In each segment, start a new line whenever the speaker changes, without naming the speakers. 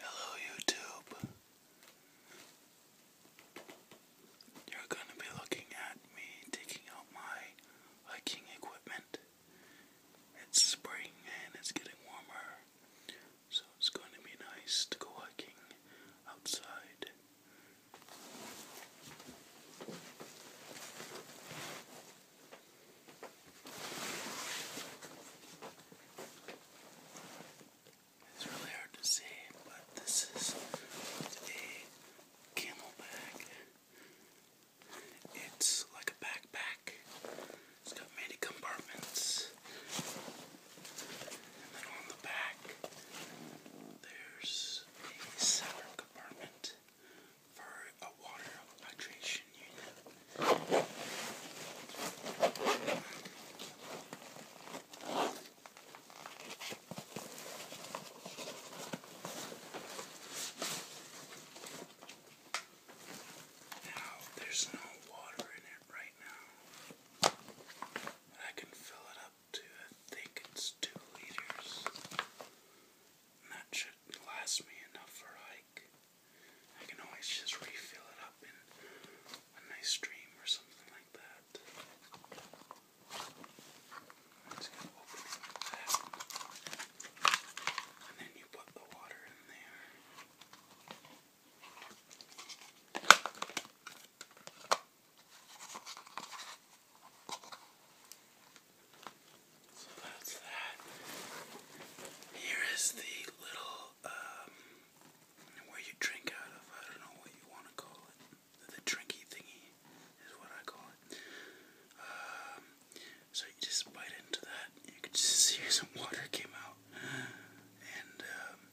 Hello, YouTube. You're going to be looking at me taking out my hiking equipment. It's spring and it's getting warmer, so it's going to be nice to go hiking outside. It's really hard to see, but this is a camel bag. It's like a backpack. It's got many compartments. And then on the back, there's a sour compartment for a water hydration unit. Now, there's no water in it right now. I can fill it up to, I think it's two liters. that should last me enough for hike. I can always just refill it up in a nice stream or something like that. And then you put the water in there. So that's that. Here is the little um, where you drink out of. I don't know what you want to call it. The drinky thingy is what I call it. Um, so you just bite into that. You can just see some water came out. And um,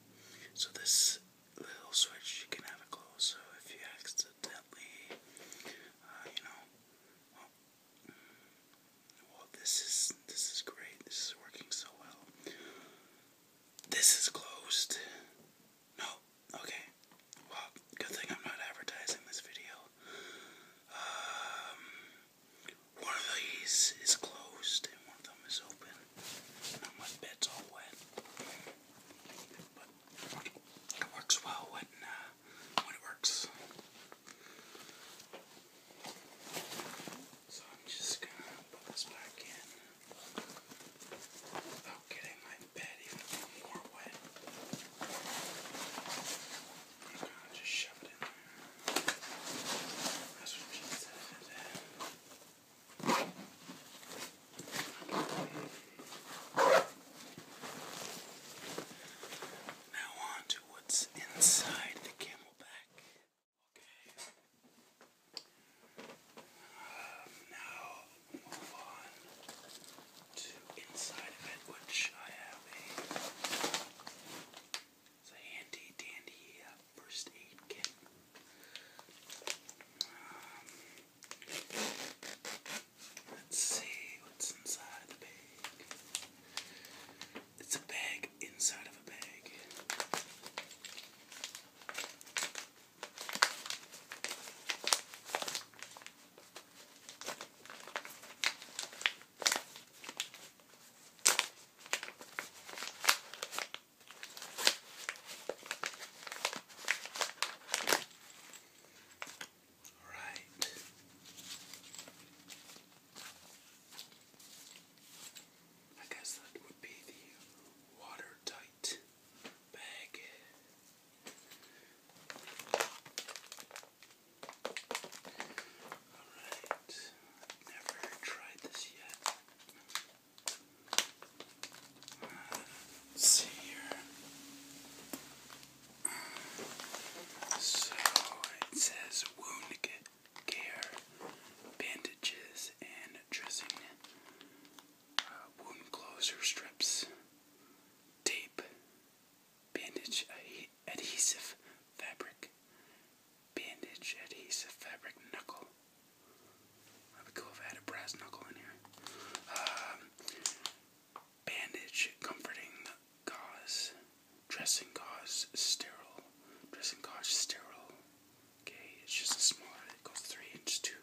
so this little switch you can have it close. So if you accidentally, uh, you know, well, this is this is great. This is working so well. This is closed. No. Okay. Well, good thing I'm not advertising this video. Um, one of these is closed and one of them is open. my bed's all wet, but it works well when uh, when it works. So I'm just gonna put this back in without getting my bed even more wet. I'm gonna just shove it in there. That's what she said. Now on to what's inside the camera. Okay. now move on to inside of it, which I have a, it's a handy dandy first uh, aid kit. Um, let's see what's inside the bag. It's a bag inside of a bag. All right. I guess that would be the watertight bag. Alright, never tried this yet. see here. So it says wound kit care, bandages, and dressing, uh, wound closer strips, tape, bandage adhesive fabric, bandage adhesive fabric knuckle. That would be cool if I had a brass knuckle in here. Um, bandage comforting gauze, dressing gauze sterile. Dressing gauze sterile. Okay, it's just a smaller, it goes 3 inch to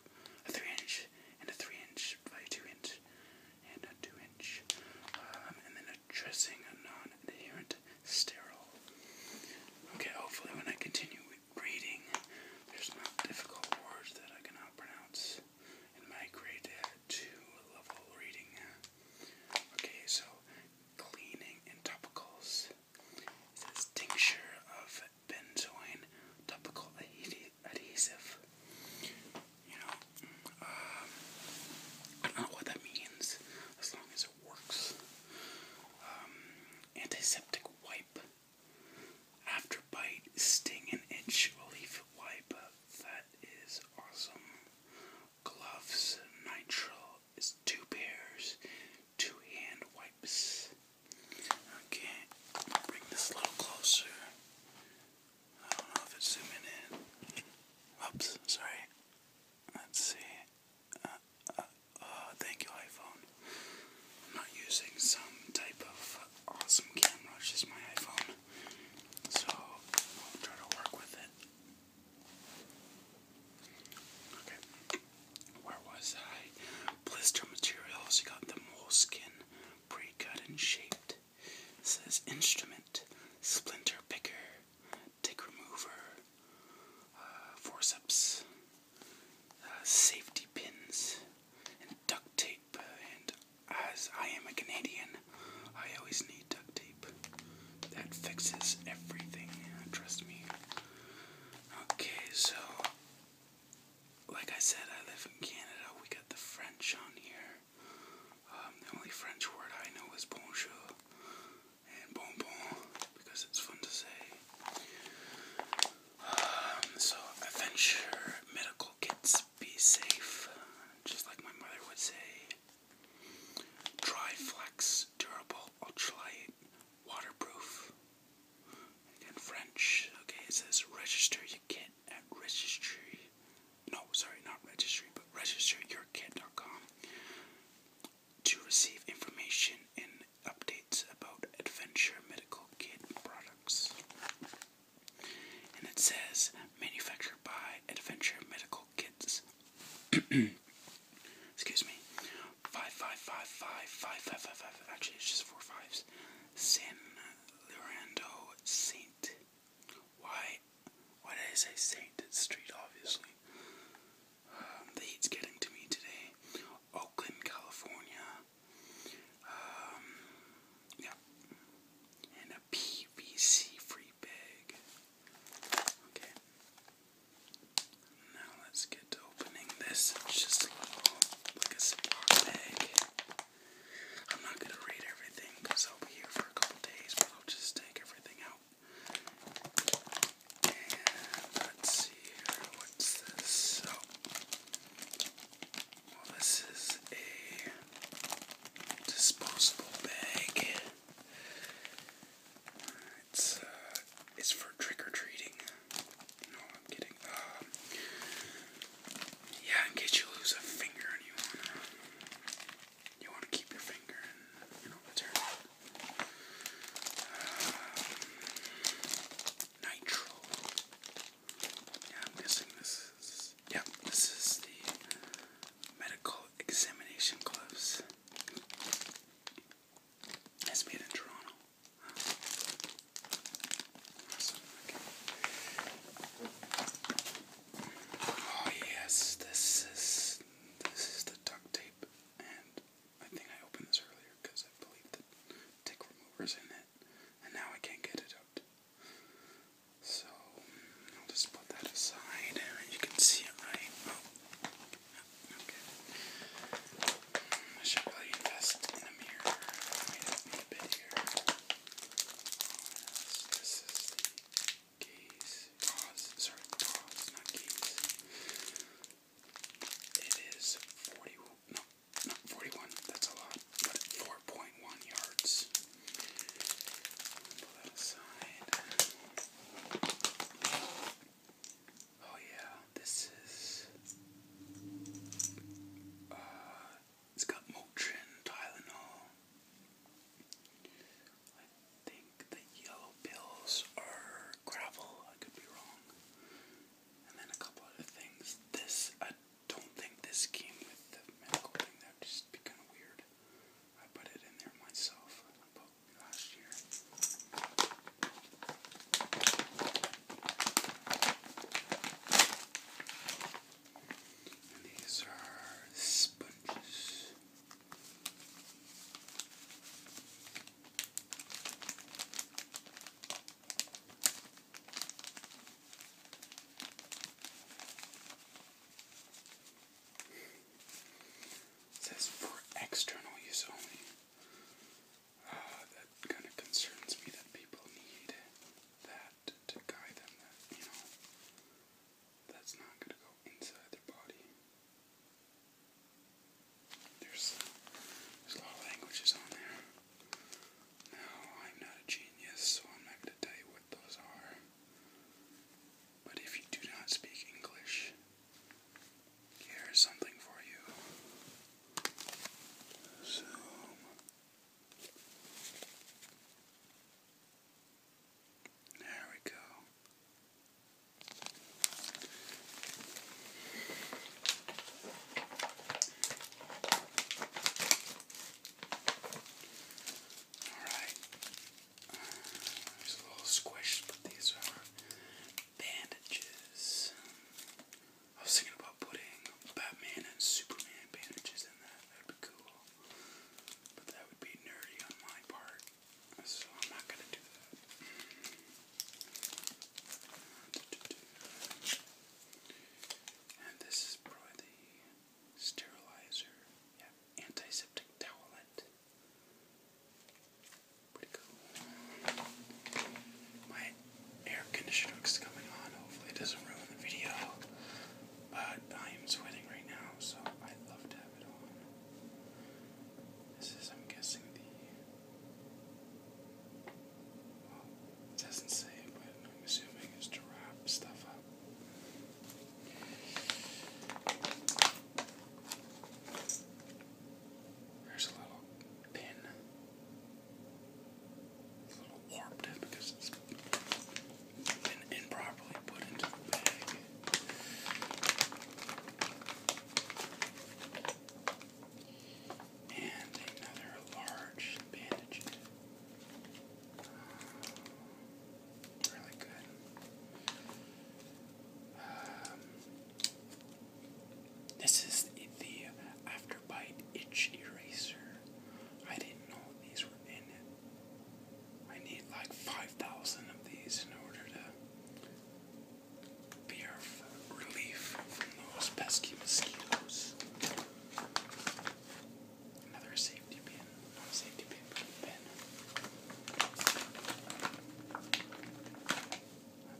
a 3 inch and a 3 inch by 2 inch and a 2 inch. Um, and then a dressing non adherent sterile. Okay, hopefully, when I continue reading, there's not difficult words that I cannot pronounce in my grade 2 level reading. Okay, so cleaning and topicals. It says tincture of benzoin topical adhesive. You know, um, I don't know what that means, as long as it works. Um, antiseptic wipe. After bite, sting, and itch relief wipe. That is awesome gloves, nitrile is two pairs, two hand wipes. Okay, bring this a little closer. I don't know if it's zooming in. Oops, sorry. Let's see. Uh, uh, uh, thank you, iPhone. I'm not using some type of awesome camera, it's just my iPhone. So I'll try to work with it. Okay. Where was I? Blister materials. You got the moleskin, pre-cut and shaped. says instrument, splinter picker, tick remover, uh, forceps, uh, safety pins, and duct tape. And as I am a Canadian, I always need duct tape. That fixes everything, trust me. Okay, so like I said, I live in Canada. We got the French on here. Um, the only French word I know is bonjour and bonbon because it's fun to say. Um, so, adventure medical kits be safe, just like my mother would say. Dryflex, Durable Ultralight Waterproof. In French, okay, it says register your kit at registry. No, sorry, not registry, but registeryourkit.com to receive information and updates about Adventure Medical Kit products. And it says manufactured by Adventure Medical Excuse me. Five five five five five five five five. Actually, it's just four fives. San Lorando Saint. Why? Why did I say Saint? street, obviously. Um, the heat's getting to me today. Oakland, California. Um, And a PVC free big. Okay. Now let's get to opening this. It's just a little, like a Ziploc bag. I'm not gonna read everything because I'll be here for a couple days, but I'll just take everything out. And let's see here. What's this? Oh. Well, this is a disposable bag it's uh, it's for trick or treating. No, I'm kidding. Um, yeah, in case you lose a finger and you wanna you wanna keep your finger and you know return it. Um, nitro. Yeah, I'm guessing this is. Yep, this is the medical examination gloves. It's made in Toronto. Oh yes, this is this is the duct tape, and I think I opened this earlier because I believe the tick remover's in it, and now I can't get it out. So I'll just put that aside, and you can see it oh. I should probably invest in a mirror. Wait up a bit here. this is the gaze. Sorry, pause, not gaze. It is 40. No, not 41. That's a lot. But 4.1 yards. Pull that aside. Oh yeah, this is uh, it's got Motrin, Tylenol. I think the yellow pills are gravel, I could be wrong. And then a couple other things. This I don't think this came with the medical thing, that would just be kinda weird. I put it in there myself last year. And these are sponges. It says for external use only. Ah, that kind of concerns me that people need that to guide them. That you know, that's not going to go inside their body. There's there's a lot of languages on there. Now I'm not a genius, so I'm not going to tell you what those are. But if you do not speak English, Here's something for you. Zoom. There we go. All right. There's a little squish, but these are bandages. I was thinking about putting Batman and Superman bandages in that. That would be cool. But that would be nerdy on my part. So I'm not going to do that. And this is probably the sterilizer. Yeah, antiseptic towelette. Pretty cool. My air conditioner is coming on. Hopefully, it doesn't ruin the video. But I am sweating right now, so I'd love to have it on. This is, I'm guessing, the. doesn't say, but I'm assuming it's to wrap stuff up. There's a little pin. a little warped because it's been improperly put into the bag. And another large bandage. really good. Um, this is the, the Afterbite Itch Eraser. I didn't know these were in it. I need like 5,000 of these in order to be our relief from those pesky mosquitoes. Another safety pin. safety pin, pin my And I'll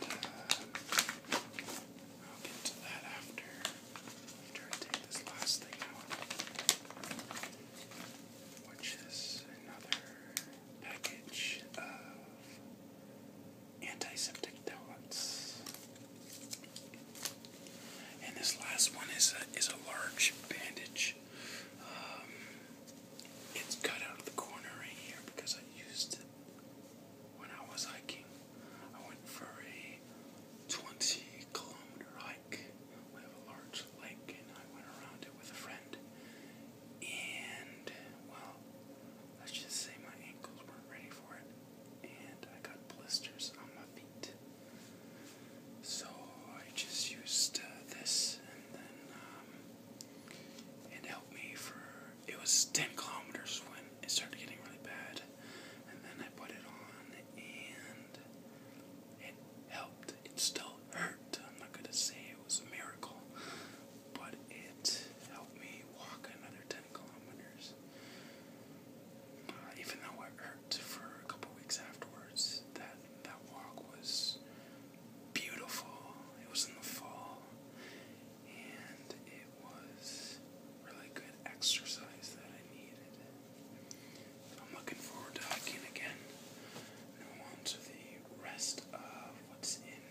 get to that after, after I take this last thing out, which is another package of antiseptic pellets. And this last one is a, is a large bandage. Um, it's cut out of the corner right here because I used it when I was hiking. I went for a 20 kilometer hike. We have a large lake, and I went around it with a friend. And, well, let's just say my ankles weren't ready for it. And I got blisters on my feet. So I just used uh, this and then um, it helped me for, it was 10 kilometers when it started getting really bad. And then I put it on and it helped. It still hurt. I'm not going to say it was a miracle, but it helped me walk another 10 kilometers. Uh, even though it hurt for a couple weeks afterwards, that that walk was beautiful. It was in the fall, and it was really good exercise that I needed. I'm looking forward to hiking again. Now on to the rest of what's in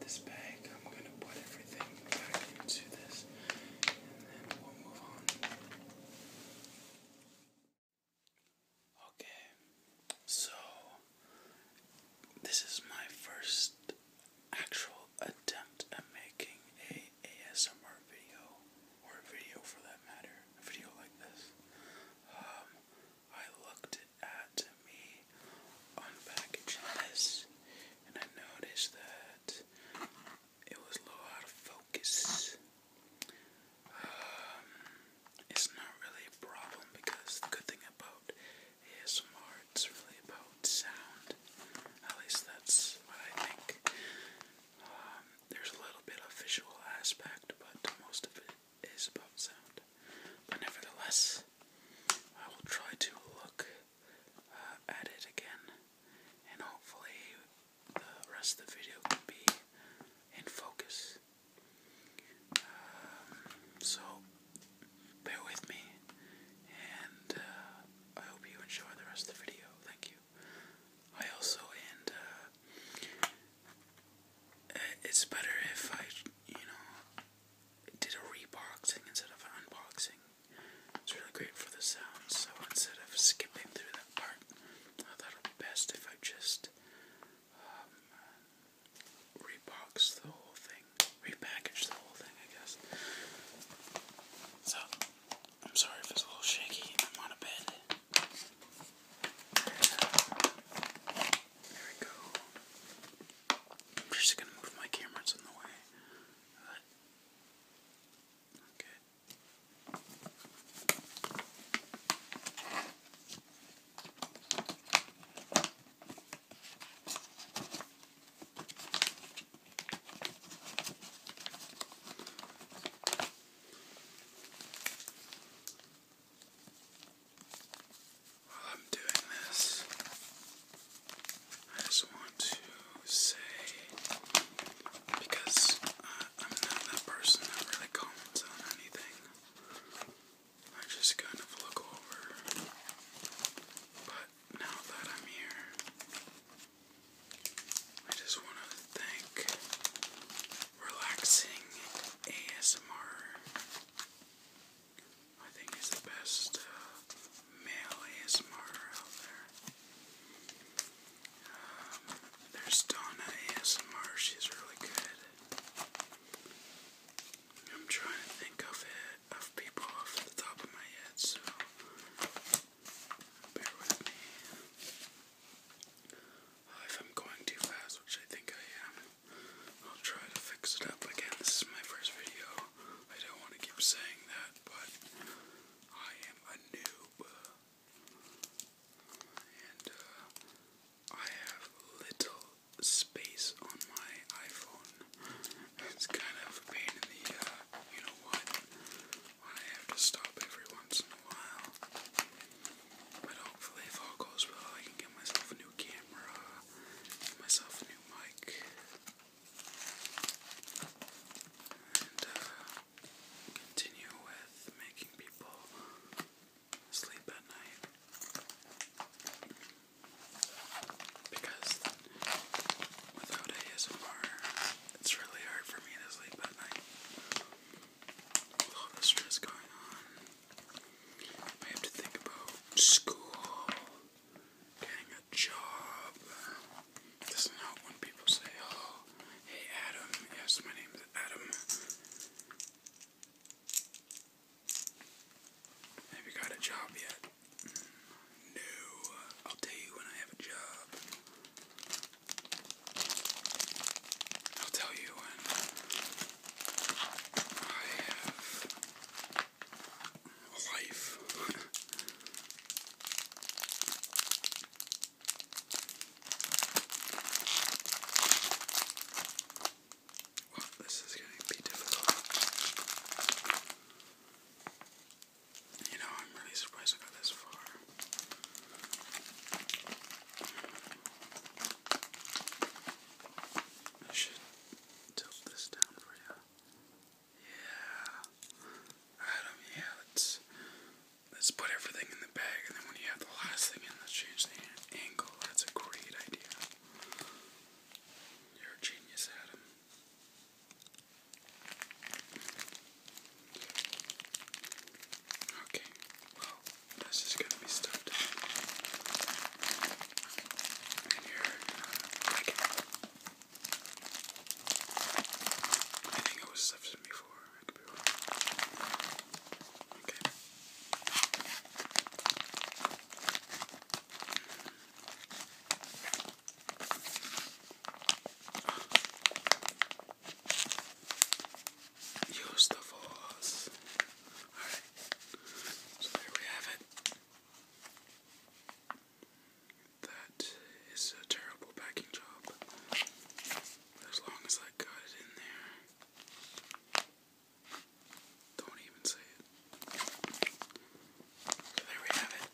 this bag. I'm gonna put everything back into this, and then we'll move on. Okay, so this is my first actual attempt at making a ASMR video, or a video for that matter, a video like this. Um, I looked at me unpackaging this, and I noticed that it was a little out of focus. Um, it's not really a problem because the good thing about ASMR is really about sound. At least that's what I think. Um, there's a little bit of visual aspect, but most of it is about sound. But nevertheless, I will try to look uh, at it again, and hopefully the rest of the video can be in focus. Um, so, bear with me, and uh, I hope you enjoy the rest of the video. Thank you. I also, and uh, uh, it's better if I, you know, did a reboxing instead of an unboxing. It's really great for the sound, so instead of skipping through that part, I thought it would be best if I just rebox the whole thing, repackage the whole thing, I guess. So, I'm sorry if it's a little shaky. I'm on a bed. There we go. I'm just gonna move my camera, it's in the way. Okay, while I'm doing this, I just want to say because uh, I'm not that person that really comments on anything. I just kind of look over. But now that I'm here, I just want to thank Relaxing ASMR. I think it's the best uh, male ASMR out there there's Donna ASMR, she's really good. I'm trying to think of it, of people off the top of my head, so bear with me. Oh, if I'm going too fast, which I think I am, I'll try to fix it up again. This is my first video. I don't want to keep saying that, but I am a noob. And uh, I have little space on my iPhone. It's kind of a pain in the, uh, you know what? I have to stop every once in a while. But hopefully, if all goes well, I can get myself a new camera, get myself a new mic, and uh, continue with making people sleep at night. Because without ASMR, it's really hard for me to sleep at night. With all the stress going on, I have to think about school, getting a job. This is not when people say, oh, hey Adam, yes, my name's Adam. Have you got a job yet? No. I'll tell you when I have a job. I'll tell you when I have a life. this is going to be difficult. You know, I'm really surprised I got this far. I should tilt this down for you. Yeah. Adam, yeah, let's let's put everything in the bag, and then when you have the last thing in, let's change the angle. That's a great idea. You're a genius, Adam. Okay, well, this is gonna be stuffed. And here, uh, I, think it was stuffed before it could Use the force. Alright. So there we have it. That is a terrible packing job. But as long as I got it in there, don't even say it. there we have it.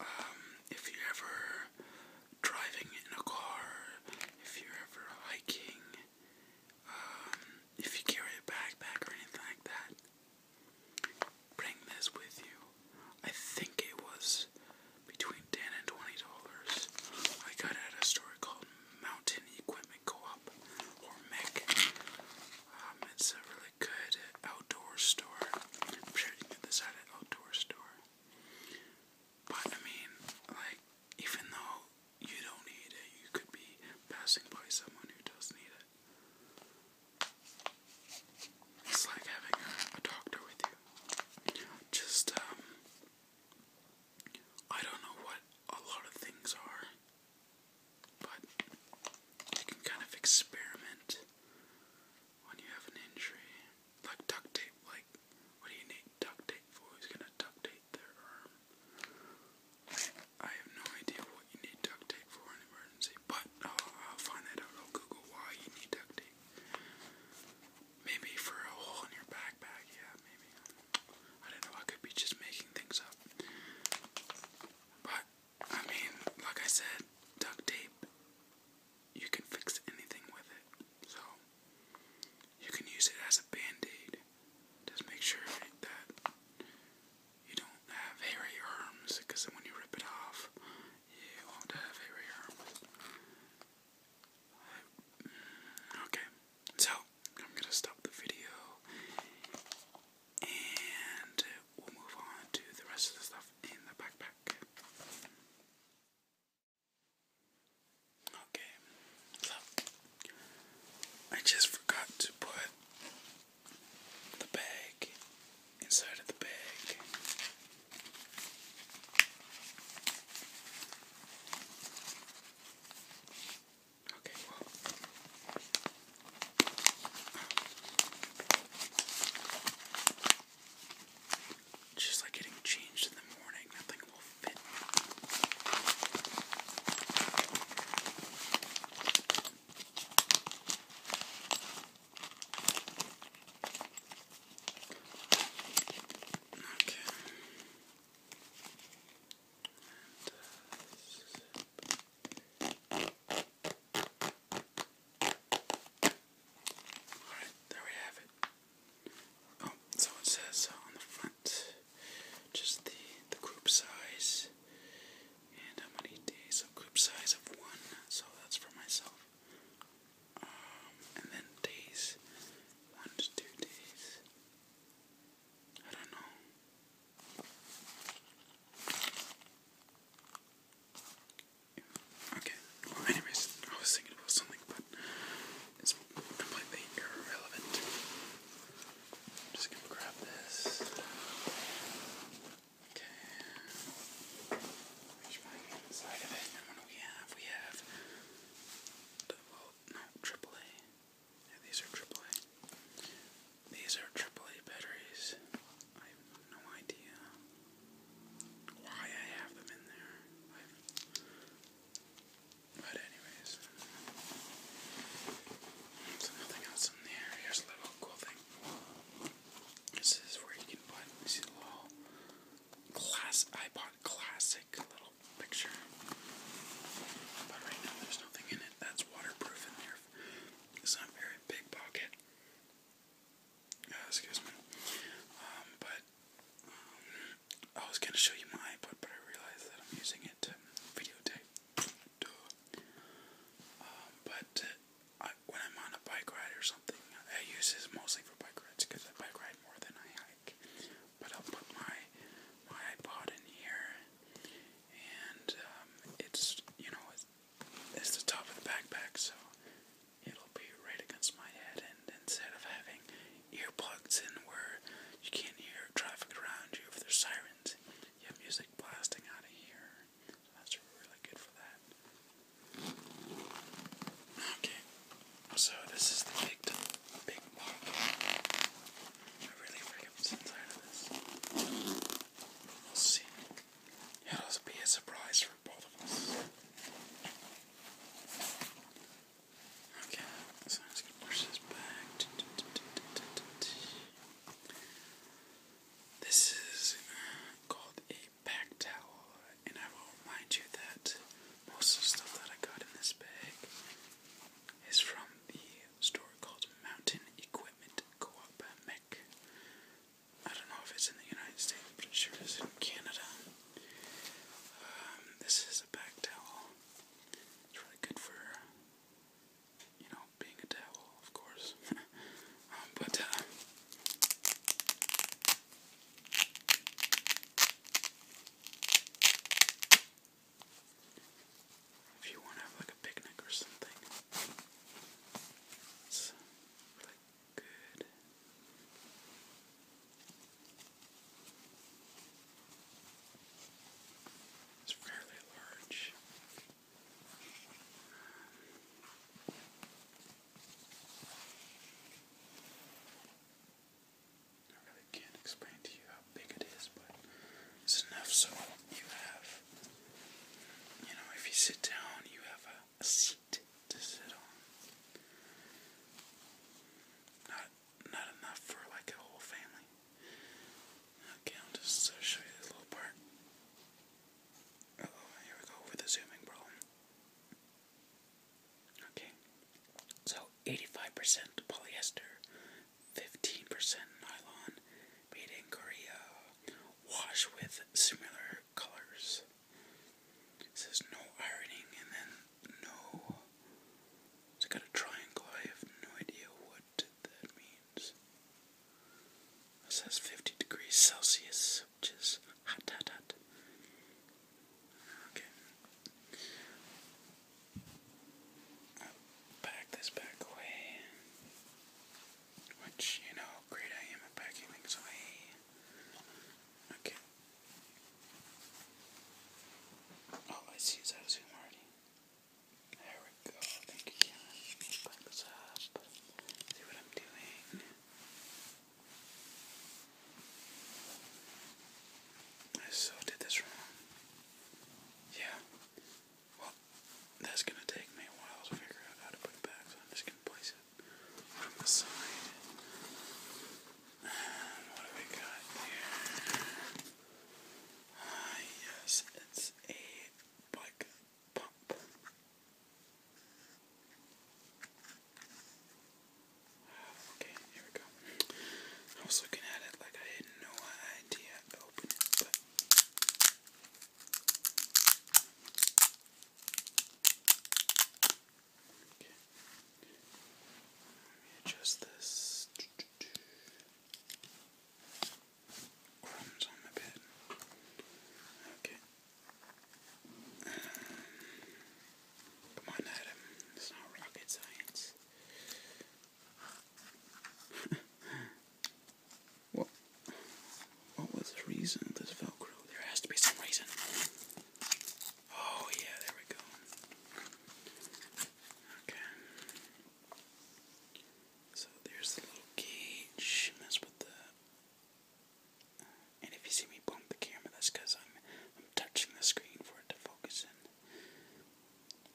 Um, if you're ever driving in a car, if you're ever hiking, um, if you carry a backpack or anything like that, bring this with you. I think it was between ten and twenty dollars. I got it at a store called Mountain Equipment Co-op or MEC. Um, it's a really good outdoor store. I'm sure you can get an outdoor store. But I mean, like, even though you don't need it, you could be passing by someone who does need it. It's like having a, doctor with you. Just um, I don't know what a lot of things are, but you can kind of experiment when you have an injury. Like duct tape, like, what do you need duct tape for? Who's gonna duct tape their arm? I have no idea what you need duct tape for an emergency, but I'll find that out. I'll Google why you need duct tape. Maybe for a hole in your backpack, yeah, maybe. I don't know, I could be just making things up. But, I mean, like I said, duct tape, you can fix anything with it. So, you can use it as a band aid. Just make sure that you don't have hairy arms, because when you rip it off, you won't have hairy arms. Okay, so I'm gonna stop the video and we'll move on to the rest of the stuff in the backpack. Okay, so I just forgot to put the bag inside of the bag. Okay, well. Just like getting changed in the morning, nothing will fit. Okay. Alright, there we have it. Oh, so it says uh, on the front just the, the group size and how many days. So, group size of one, so that's for myself and then days, one to two days. I don't know. Okay, well, anyways, I was thinking about something, but it's completely irrelevant. I'm just gonna grab this. Okay. Which might of it. we have? We have no AAA. these are AAA. These are AAA batteries. I have no idea why I have them in there. But anyways, so nothing else in there. Here's a little cool thing. This is where you can put see the little class iPod classic little picture. But right now there's nothing in it. That's waterproof in there. It's not very big pocket. Uh, excuse me. Um, but um, I was gonna show you my iPod, but I realized that I'm using it to videotape. Um, but uh, when I'm on a bike ride or something, I use this mostly for bike rides because I bike ride more than I hike but I'll put my my iPod in here, and um, it's you know it's, the top of the backpack, so it'll be right against my head. And instead of having earplugs in where you can't hear traffic around you if there's sirens, you have music blasting out of here. So that's really good for that. Okay, so this is the big, big mark. I really freaking since tired of this. We'll see. It'll be a surprise for both of us. Okay, so I'm just gonna push this back. This is uh, called a back towel, and I will remind you that most of the stuff that I got in this bag is from the store called Mountain Equipment Co-op Mech. I don't know if it's in the United States, but it sure is in Canada. Um, this is a back towel. It's really good for, you know, being a towel, of course. Um, but, uh, if you want to have like a picnic or something, it's really good. It's fairly large. I really can't explain to you how big it is, but it's enough so you have, you know, if you sit down, you have a, seat to sit on. Not, not enough for like a whole family. Okay, I'll just uh, show you this little part. oh, here we go with the zooming problem. Okay, so 85% polyester, 15% nylon, made in Korea, wash with similar colors. It says no ironing and then no. It's got a triangle, I have no idea what that means. It says 50 degrees Celsius, which is hot, hot, hot. I'll pack this back away. Which, you know, great I am at packing things away. Okay. All oh, I see is how zoom already. There we go. Thank you, Karen. Pack this up. See what I'm doing. I so did this wrong. Yeah. Well, that's gonna take me a while to figure out how to put it back, so I'm just gonna place it on the side. And what have we got here? Ah, yes, it's a bike pump. Okay, here we go. I was looking at it like I had no idea how to open it, but okay. Let me adjust this. Crumbs on my bed. Okay. Um, come on, Adam. It's not rocket science. what? What was the reason this Velcro? There has to be some reason. Oh yeah, there we go. Okay. So there's the little gauge. That's what the. and if you see me bump the camera, that's because I'm I'm touching the screen for it to focus in.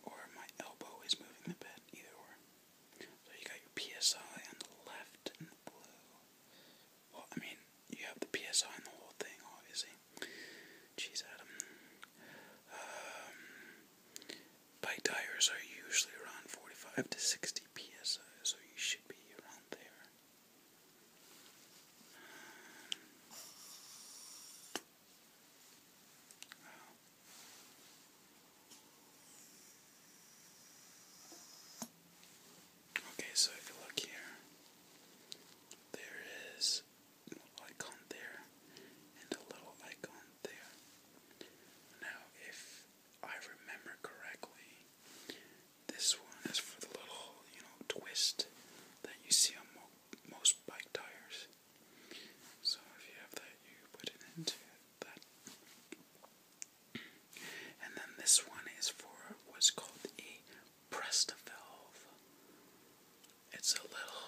Or my elbow is moving the bed, either or. So you got your PSI on the left and the blue. Well, I mean, you have the PSI on the whole thing, obviously. Jeez, Adam. Um, bike tires are usually around 45 to 60 PSI, so you should be around there. Okay, so if you look here, there is a icon there and a little icon there. Now, if I remember correctly, this one is for the little, you know, twist that you see on most bike tires. So if you have that, you put it into that. And then this one is for what's called a Presta valve. It's a little.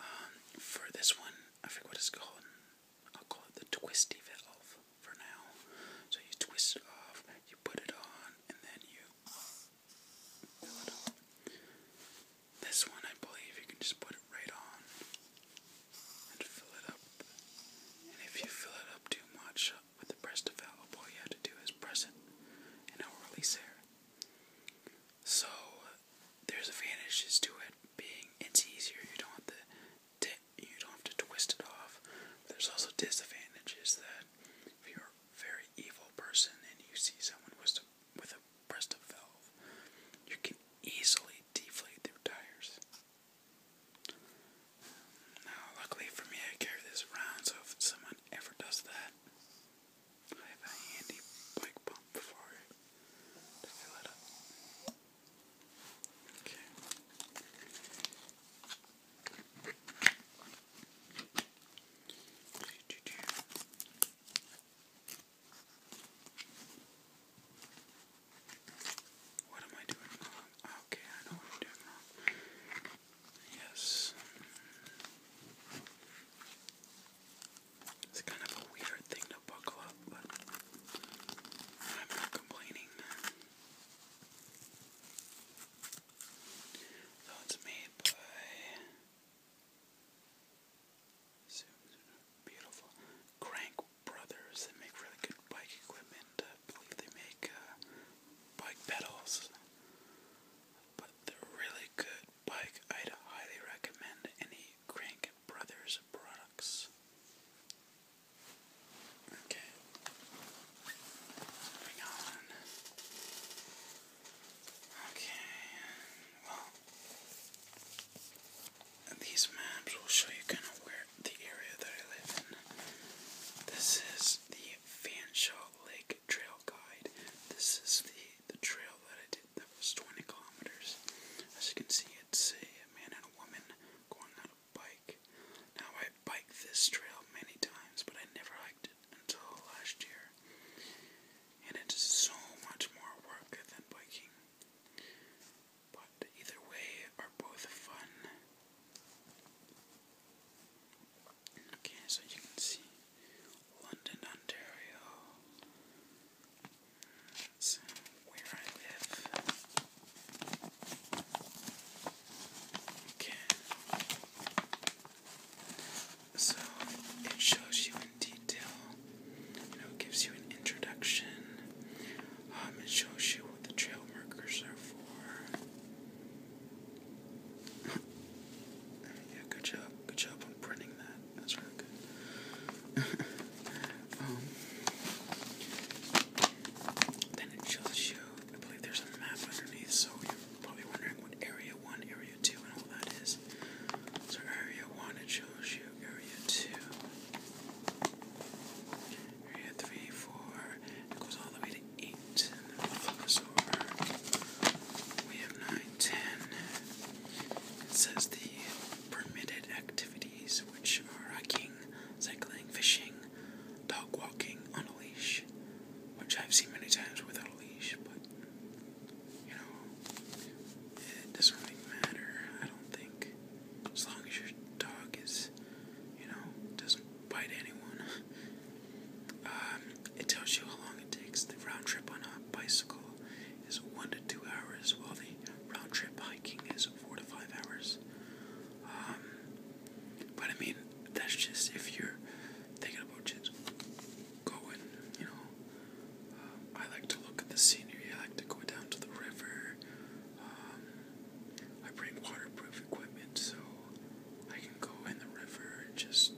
Um, for this one, I forget what it's called. I'll call it the twisty valve for now. So you twist it off, you put it on, and then you this one, I believe, you can just put it right on and fill it up. And if you fill it up too much with the breast of envelope, all you have to do is press it, and it will release air. So there's advantages to it being it's easier. you don't have to twist it off. There's also disadvantages that if you're very evil person and you see someone with a, with a breast of valve, you can easily deflate their tires. Now, luckily for me, I carry this around, so if someone ever does that, I have a handy bike pump for to fill it up. Okay. What am I doing wrong? Okay, I know I'm doing wrong. Yes. It's kind of a weird thing to buckle up, but I'm not complaining. Though made by Beautiful. Crank Brothers, they make really good bike equipment. I believe they make uh, bike pedals. But they're really good bike. I'd highly recommend any Crank Brothers products. Okay. Moving on. Okay, well, these maps will show you kind of where the area that I live in. This is the Fanshawe Lake Trail Guide. This is the, the trail that I did that was 20 kilometers. As you can see, it's a man and a woman going on a bike. Now, I bike this trail many times, but I never hiked it until last year, and it's so much more work than biking. But either way are both fun. Okay, so you can see London, Ontario. That's where I live. Okay. So it shows you in detail, you know, gives you an introduction. Um, it shows you what the trail markers are for. yeah, good job, good job on printing that. That's really good. um, then it shows you, I believe there's a map underneath, so you're probably wondering what area one, area. Area So Area 1, it shows you Area 2. Area 3, 4, it goes all the way to 8. we have 9, It says the permitted activities, which are hiking, cycling, fishing, dog walking on a leash, which I've seen many times without a leash, but you know, it doesn't really matter, I don't think. As long as your dog is, you know, doesn't bite anyone. Um, it tells you how long it takes. The round trip on a bicycle is one to two hours, while the round trip hiking is four to five hours. Um, but I mean, that's just if you're thinking about just go and, you know, uh, I like to look at the scenery. I like to go down to the river. Um, I bring waterproof equipment so I can go in the river and just,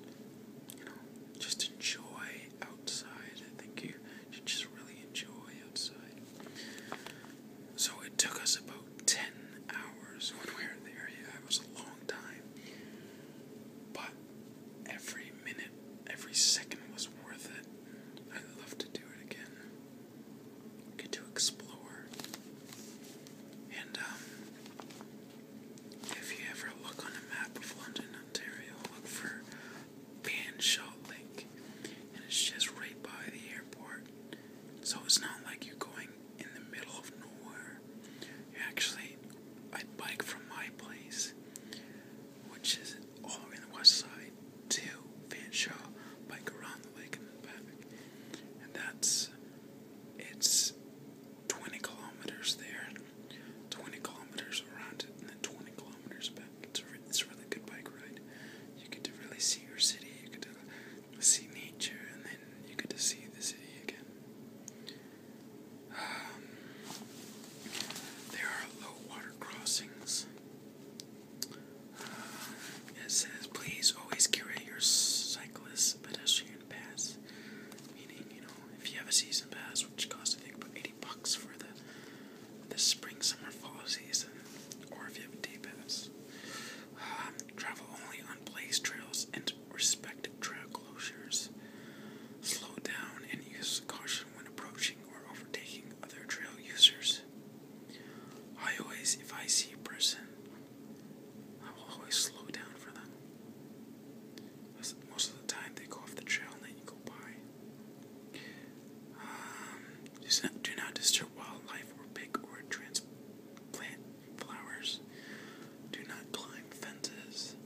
you know, just enjoy outside. I think you should just really enjoy outside. So it took us about 10 hours when we were there. Yeah, it was a long time. But Every minute, every second was worth it. I'd love to do it again. Get to explore. And, um, if you ever look on a map of London, Ontario, look for Banshaw Lake. And it's just right by the airport. So it's not like you're going in the middle of nowhere. Actually, I bike from my place, which is all in the west side, to Fanshawe, bike around the lake and back. And that's, it's 20 kilometers there, 20 kilometers around it, and then 20 kilometers back. it's a really good bike ride. You get to really see your city, you get to see nature, and then you get to see the city again. Um, there are low water crossings. Uh, it says, please always carry your cyclist pedestrian pass. Meaning, you know, if you have a season pass, which costs I think about 80 bucks for the, the spring, summer, fall season, or if you have a day pass. Um, travel only on blazed trails and respective trail closures. Slow down and use caution when approaching or overtaking other trail users. I always, if I see a person, I will always slow down for them. Most of the time, they go off the trail and then you go by. do um, not, do not disturb wildlife or pick or transplant flowers. Do not climb fences.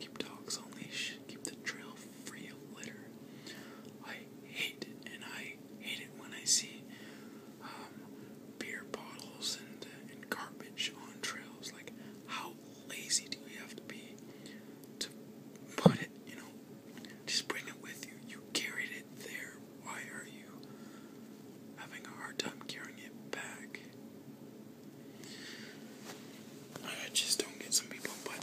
Keep dogs on leash. Keep the trail free of litter. I hate it, and I hate it when I see um, beer bottles and, and garbage on trails. Like, how lazy do you have to be to put it, you know? Just bring it with you. You carried it there. Why are you having a hard time carrying it back? I just don't get some people, but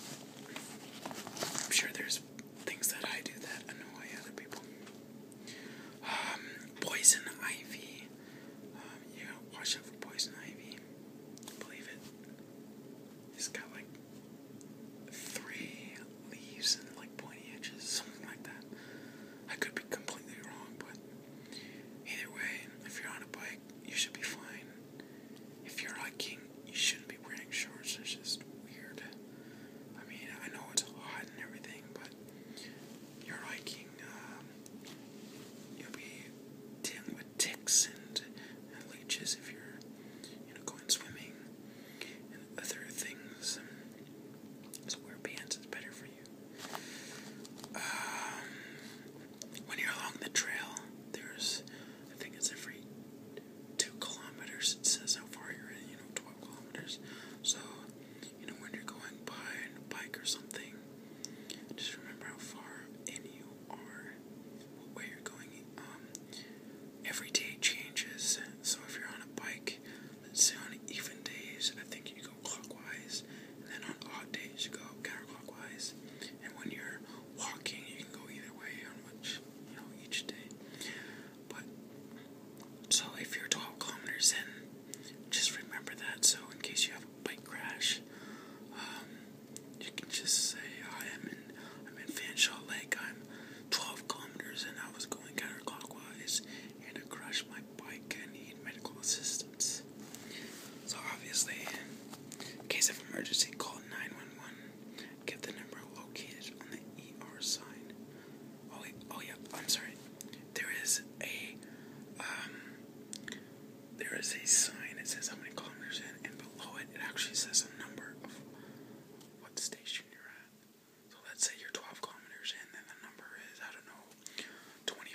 I'm sure there's things that I do that annoy other people. Um, poison ivy. Um, you got watch out for poison ivy. Believe it. It's got like three leaves and like pointy edges, something like that. I could be completely wrong, but either way, if you're on a bike, you should be fine. If you're hiking, you shouldn't be wearing shorts. It's just weird. I mean, I know it's hot and everything, but you're hiking, um, you'll be dealing with ticks and, leeches if you're, going swimming and other things. Um, so wear pants. It's better for um, when you're along the trail, there's, I think it's every two kilometers, it says how far you're in, you know, 12 kilometers. So, you know, when you're going by on a bike or something, just remember how far in you are, where you're going. Um, every day changes. So if you're on a bike, let's say on even days, I think you go clockwise, and then on odd days you go counterclockwise. And when you're walking, you can go either way on which you know each day. But so if you're 12 kilometers in, just remember that. So in case you have a bike crash, um, you can just say I am in I'm in Fanshawe Lake. I'm 12 kilometers and I was going counterclockwise and I crashed my bike. and need medical assistance. So obviously, in case of emergency, call 911. Get the number located on the ER sign. Oh, oh yeah, I'm sorry. There is a, um, there is a sign that says how many kilometers in, and below it, it actually says a number of what station you're at. So let's say you're 12 kilometers in, and the number is, I don't know, 25.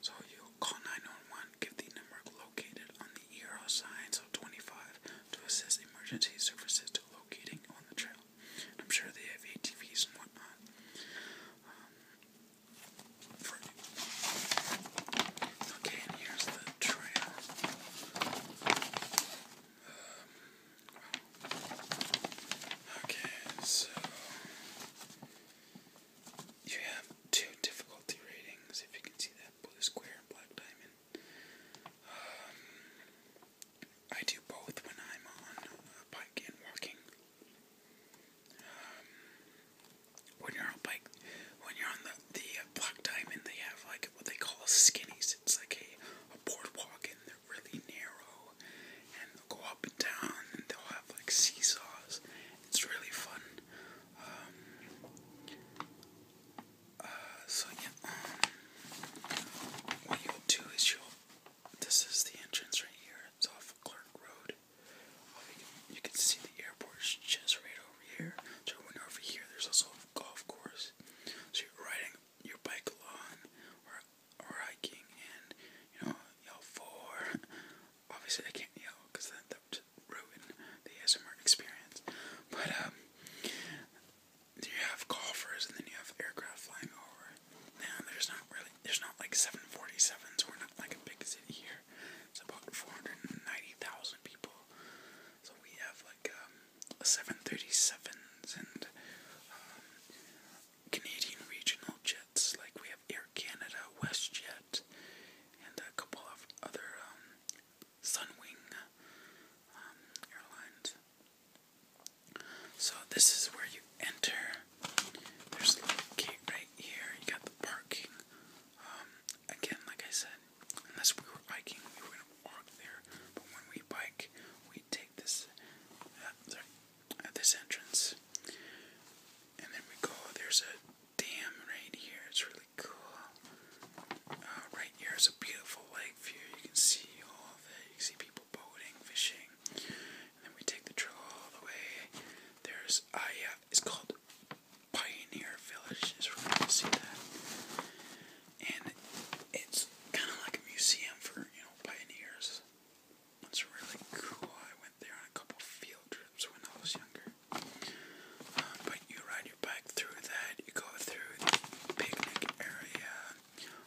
So you call 911 Give the number located on the euro signs of 25 to assist emergency services to locating on the trail. I'm sure they have ATVs and whatnot. Um, okay, and here's the trail. Um, okay, so you have two difficulty ratings, if you can see that blue square black diamond. Um, I do both when I'm on a uh, bike and walking. Um, when you're on bike, when you're on the the uh, black diamond, they have like what they call skinnies. It's like a boardwalk, and they're really narrow, and they'll go up and down, and they'll have like seesaws, it's really fun. Um, uh, so yeah, um, what you'll do is you'll. This is the entrance right here. It's off Clark Road. you, can, see the airport's just right over here. So when over here, there's also a golf course. So you're riding your bike along, or or hiking, and you know, yell for obviously I can't yell because that, that would ruin the ASMR experience. But um, you have golfers and then you have aircraft flying over. Now there's not really there's not like 747s. We're not like a big city here. It's about 490,000 people. So we have like um, 737s and um, Canadian regional jets jets, like we have Air Canada, WestJet, and a couple of other um, Sunwing um, airlines. So this is where you enter. There's a little gate right here. You got the parking. Um, again, like I said, unless we were biking, we were gonna walk there. But when we bike, we take this uh, sorry, at uh, this entrance, and then we go. There's a dam right here. It's really cool. Uh, right here is a beautiful lake view. You can see all of it. You can see people boating, fishing. And then we take the trail all the way. There's, ah, uh, yeah, it's called Pioneer Village. Is where you see that. And it's kind of like a museum for, you know, pioneers. It's really cool. I there on a couple field trips when I was younger. Uh, but you ride your bike through that, you go through the picnic area,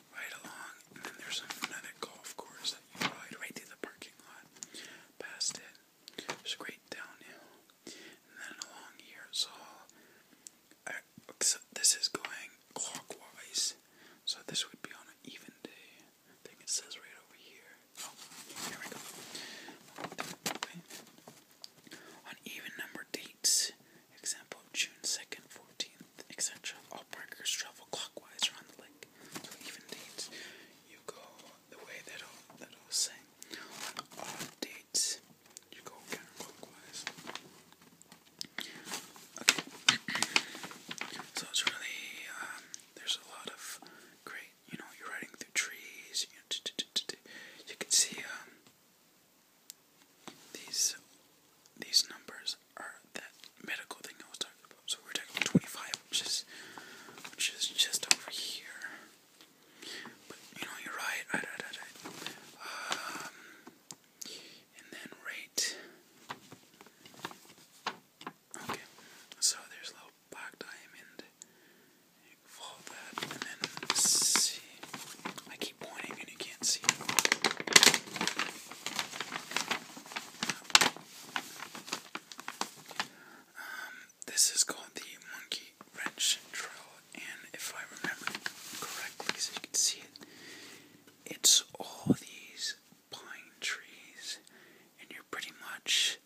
right along, and then there's another golf course that you ride right through the parking lot. Past it, there's a great downhill. And then along here, so this is going clockwise, so this would be on an even day. I think it says right over here. Oh, here we go. On even number dates, example June 2nd, 14th, etc., all parkers travel clockwise around the lake. So even dates, you go the way that i that i say. odd dates, you go counterclockwise. Okay. so it's really, um, there's a lot of great you know, you're riding through trees. You, can see um, these these numbers are that medical thing I was talking about. So we're talking about 25, which is which is just over here. But you know, you're right. Um, and then right Okay, so there's a little black diamond. You fold that and then see. I keep pointing and you can't see. Um, this is called the monkey wrench drill, and if I remember correctly, so you can see it, it's all these pine trees and you're pretty much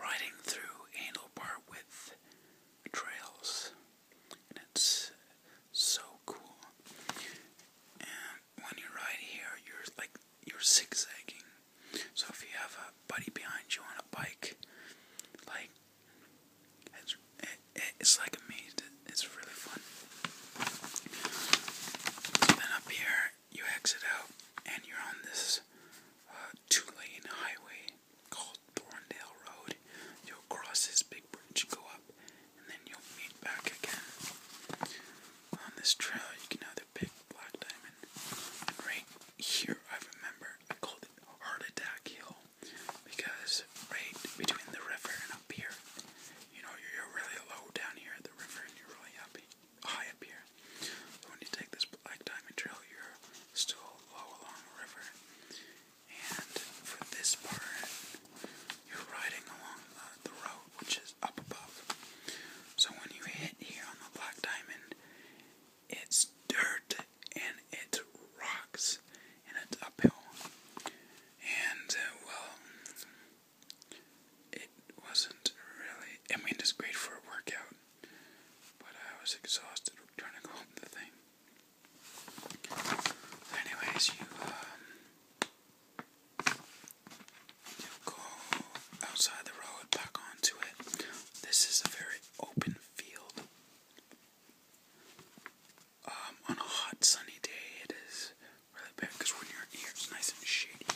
riding through handlebar with trails, and it's so cool. And when you ride here, you're like you're zigzagging. So if you have a buddy behind you on a bike, like it's, it, it's like a maze. It's really fun. up here you exit out and you're on this uh, two lane highway called Thorndale Road. You'll cross this big bridge, go up, and then you'll meet back again. On this trail, you can either pick Black Diamond, and right here, I remember I called it Heart Attack Hill because right between the river and up here, you know, you're really low down here at the river and you're really happy high up here. when you take this Black Diamond Trail, you're still low along the river. And for this part, you're riding along the, road, which is up above. So when you hit here on the Black Diamond, it's dirt and it's rocks and it's uphill. And, uh, well, it wasn't really, I mean, it's great for a workout, but I was exhausted trying to go up the thing. anyways, you um, you go outside the road, back onto it. This is a very open field. Um, on a hot sunny day, it is really bad because when you're nice and shady.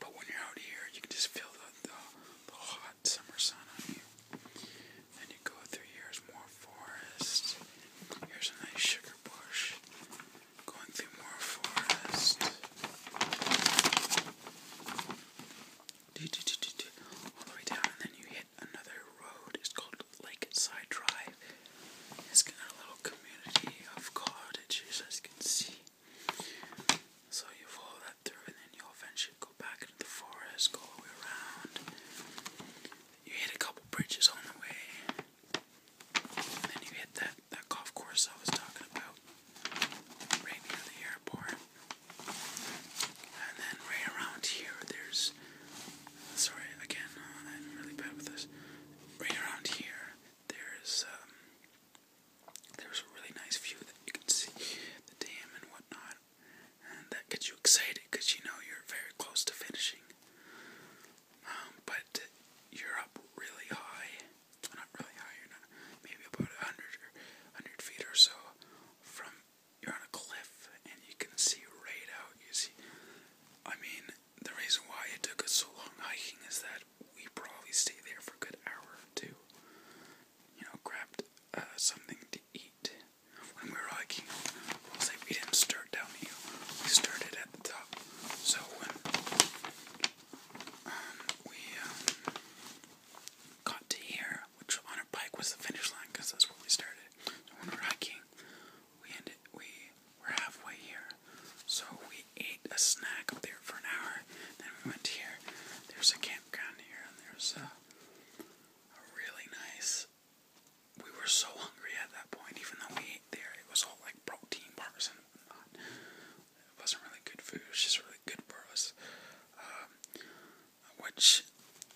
But when you're out here, you can just feel the, the, hot summer sun on you. And you go through here's more forest. Here's a nice sugar bush. Going through more forest. All the way down, and then you hit another road. It's called Lakeside Drive. It's got a little community of cottages, as you can see. So you follow that through, and then you'll eventually go back into the forest, go all the way around. You hit a couple bridges on the way, and then you hit that, that golf course I was talking about right near the airport. And then right around here, there's. Sorry, again, I'm really bad with this. Right around here, there's um, there's a really nice view that you can see the dam and whatnot, and that gets you excited because you know you're very close to finishing. Um, but you're up really high, not really high, you're not, maybe about 100 or 100 feet or so from, you're on a cliff and you can see right out, you see, I mean, the reason why it took us so long hiking is that we probably stay there for a good hour or two, you know, grabbed uh, something to eat when we were hiking. i we didn't start down the we started at the top. So when um, we um, got to here, which on our bike was the finish line because that's where we started. So when we were hiking, we ended, we were halfway here. So we ate a snack up there for an hour, then we went here. There's a camp campground here, and there's a, really nice. We were so hungry at that point, even though we ate there. It was all like protein bars and whatnot. It wasn't really good food. It was just really good for us, um, which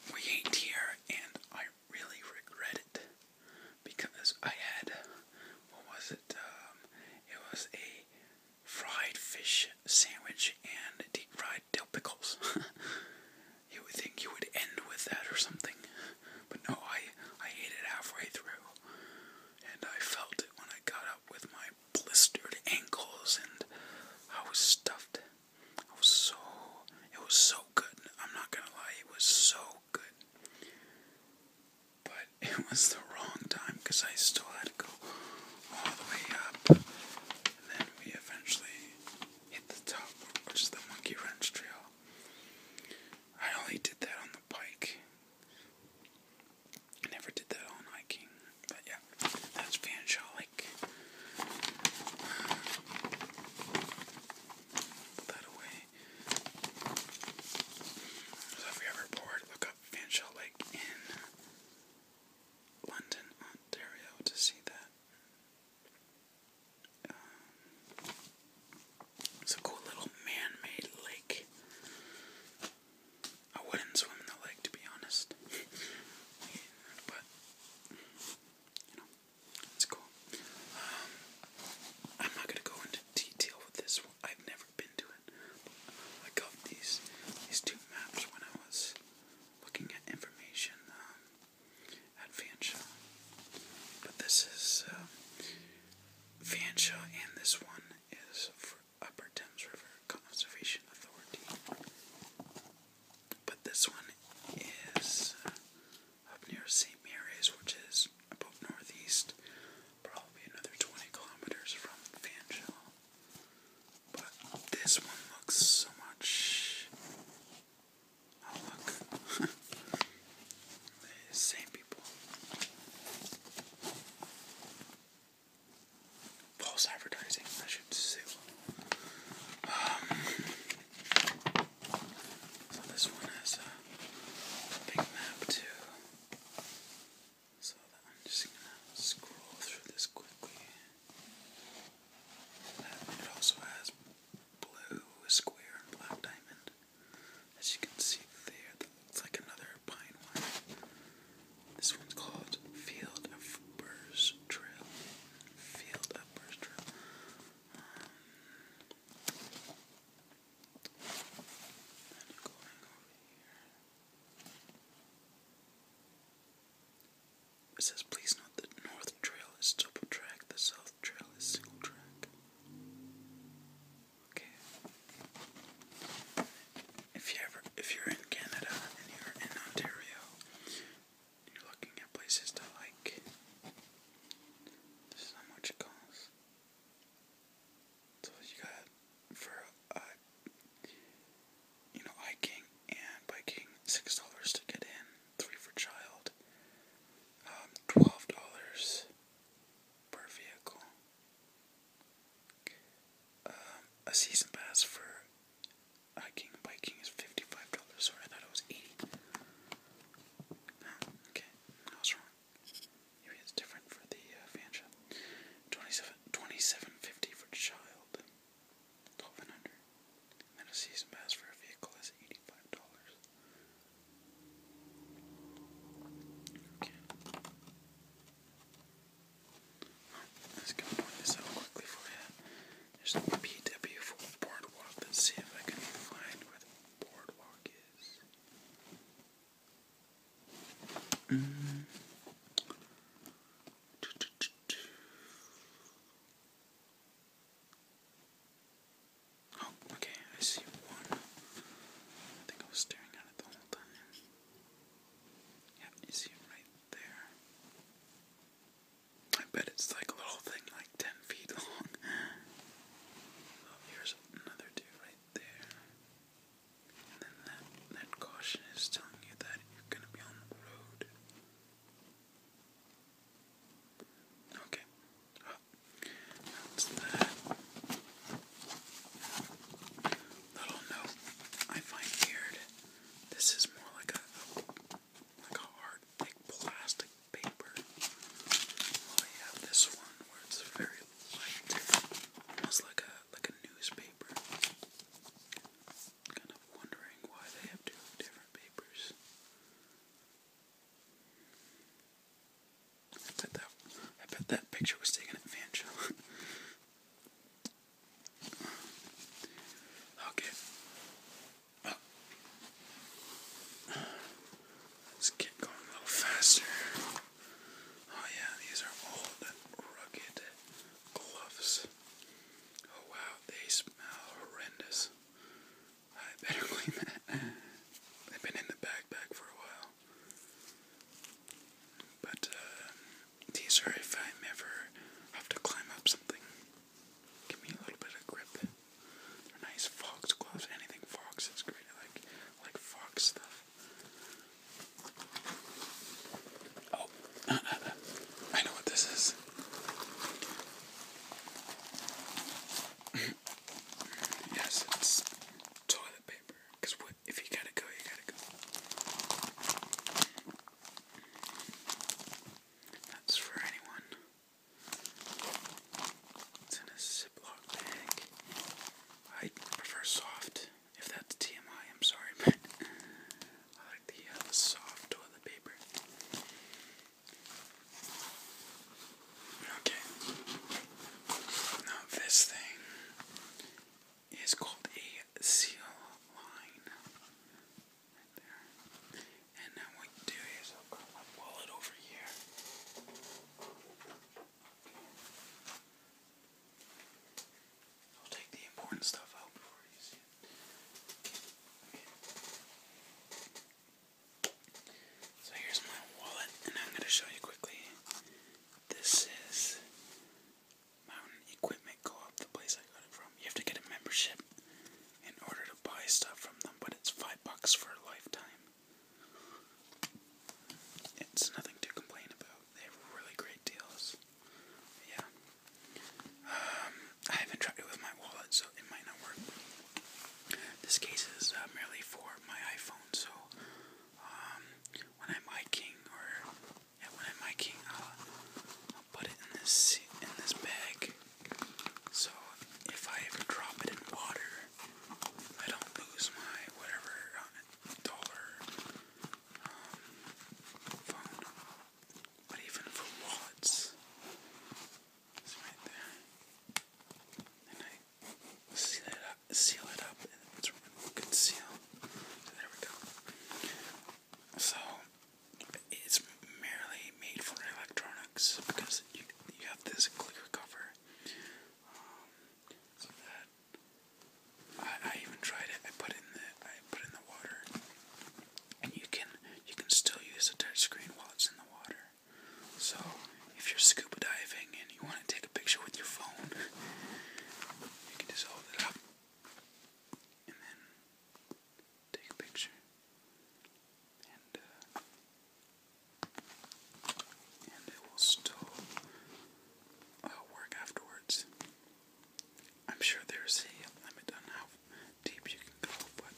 we ate here, and I really regret it because I had what was it? Um, it was a fried fish sandwich and deep fried dill pickles. you would think you would end with that or something, but no, I I ate it halfway through, and I felt it when I got up with my blistered ankles, and I was stuffed. I was so it was so good. I'm not gonna lie, it was so good. But it was the wrong time because I still had go all the way up, and then we eventually hit the top, which is the monkey wrench trail. I only did that on the bike. I never did that on hiking, but yeah, that's Fanshawe Lake. Put that away. if you ever bored, look up Fanshawe Lake in London, Ontario to see that. Um, it's a cool little man made lake. I wouldn't swim in the lake to be honest. but, you know, it's cool. Um, I'm not going to go into detail with this I've never been to I got these these two maps when I was looking at information um, at Fanshawe. But this is um, and this one is for Upper Thames River Conservation Authority. But this one is uh, up near St. Mary's, which is about northeast, probably another 20 kilometers from Fanshawe. But this one looks so much. Oh, look. same people. False advertising, I should say. Um, so this one has a big map too. So I'm just gonna scroll through this quickly. It also has blue square black diamond. As you can see there, that looks like another pine one. This one's called Field of Burrs Trail. Field of Burrs Trail. Um, it says, please note that North Trail is double track, the South Trail is single track. Okay. If you ever, if you're in Canada and you're in Ontario, you're looking at places to like. This is how much it costs. So you got for uh, you know hiking and biking, six dollars to get in, three for child, um, twelve dollars per vehicle. Um, a season pass for hiking and biking is fifty-five dollars. Sorry, I thought it was eighty. No, oh, okay, I was wrong. Maybe it's different for the uh, fan Twenty-seven, twenty-seven fifty for child. 12 and a season pass for a vehicle is $85. Okay. Let's go point this out quickly for you. There's a PW for Boardwalk. Let's see if I can find where Boardwalk is. Mm. Oh, okay, I see one. I think I was staring at it the whole time. Yeah, you see it right there. I bet it's like a little thing, like 10 feet long. Oh, here's another dude right there then that, that caution is telling you that you're going to be on the road. Okay. Oh, that. Little note I find weird. This is more like a, like a hard, thick plastic paper. Well, have this one where it's very light, almost like a like a newspaper kind of wondering why they have two different papers. I bet that I bet that picture was taken at Van okay. Oh. Let's get going a little faster. Oh yeah, these are old, rugged gloves. Oh wow, they smell horrendous. I better clean that. They've been in the backpack for a while. But uh, these are if I ever have to climb up something. Give me a little bit of grip. nice fox gloves. Anything fox is great. like, like fox stuff. Oh, I know what this is. yes, it's toilet paper. Because if you gotta go, you gotta go. That's for anyone. It's in a Ziploc bag. I prefer soft. If that's TMI, I'm sorry, I like uh, the, soft toilet paper. Okay. Now this thing is called a seal line. Right there. And now what you do is I'll put my wallet over here. I'll take the important stuff out before you see it. So here's my wallet, and I'm going to show you quickly. This is Mountain Equipment Co-op, the place I got it from. You have to get a membership in order to buy stuff from them, but it's five bucks for a lifetime. It's nothing to complain about. They have really great deals. Yeah. Um, I haven't tried it with my wallet, so it might not work. This case is uh, merely for my iPhone, so um, when I'm hiking or when I'm hiking, uh, I'll, put it in this in this bag. So if I ever drop it in water, I don't lose my whatever uh, dollar um, phone. But even for Watts, it's right there. And I seal it up, seal it up, and it's conceal. So there we go. So it's merely made for electronics because you you have this clear cover. Um, I, even tried it. I put it in the I put in the water, and you can you can still use the touch screen while it's in the water. So if you're scuba diving and you want to take a picture with your phone, you can just hold it up and then take a picture. And uh, it will still uh, work afterwards. I'm sure there's a limit on how deep you can go, but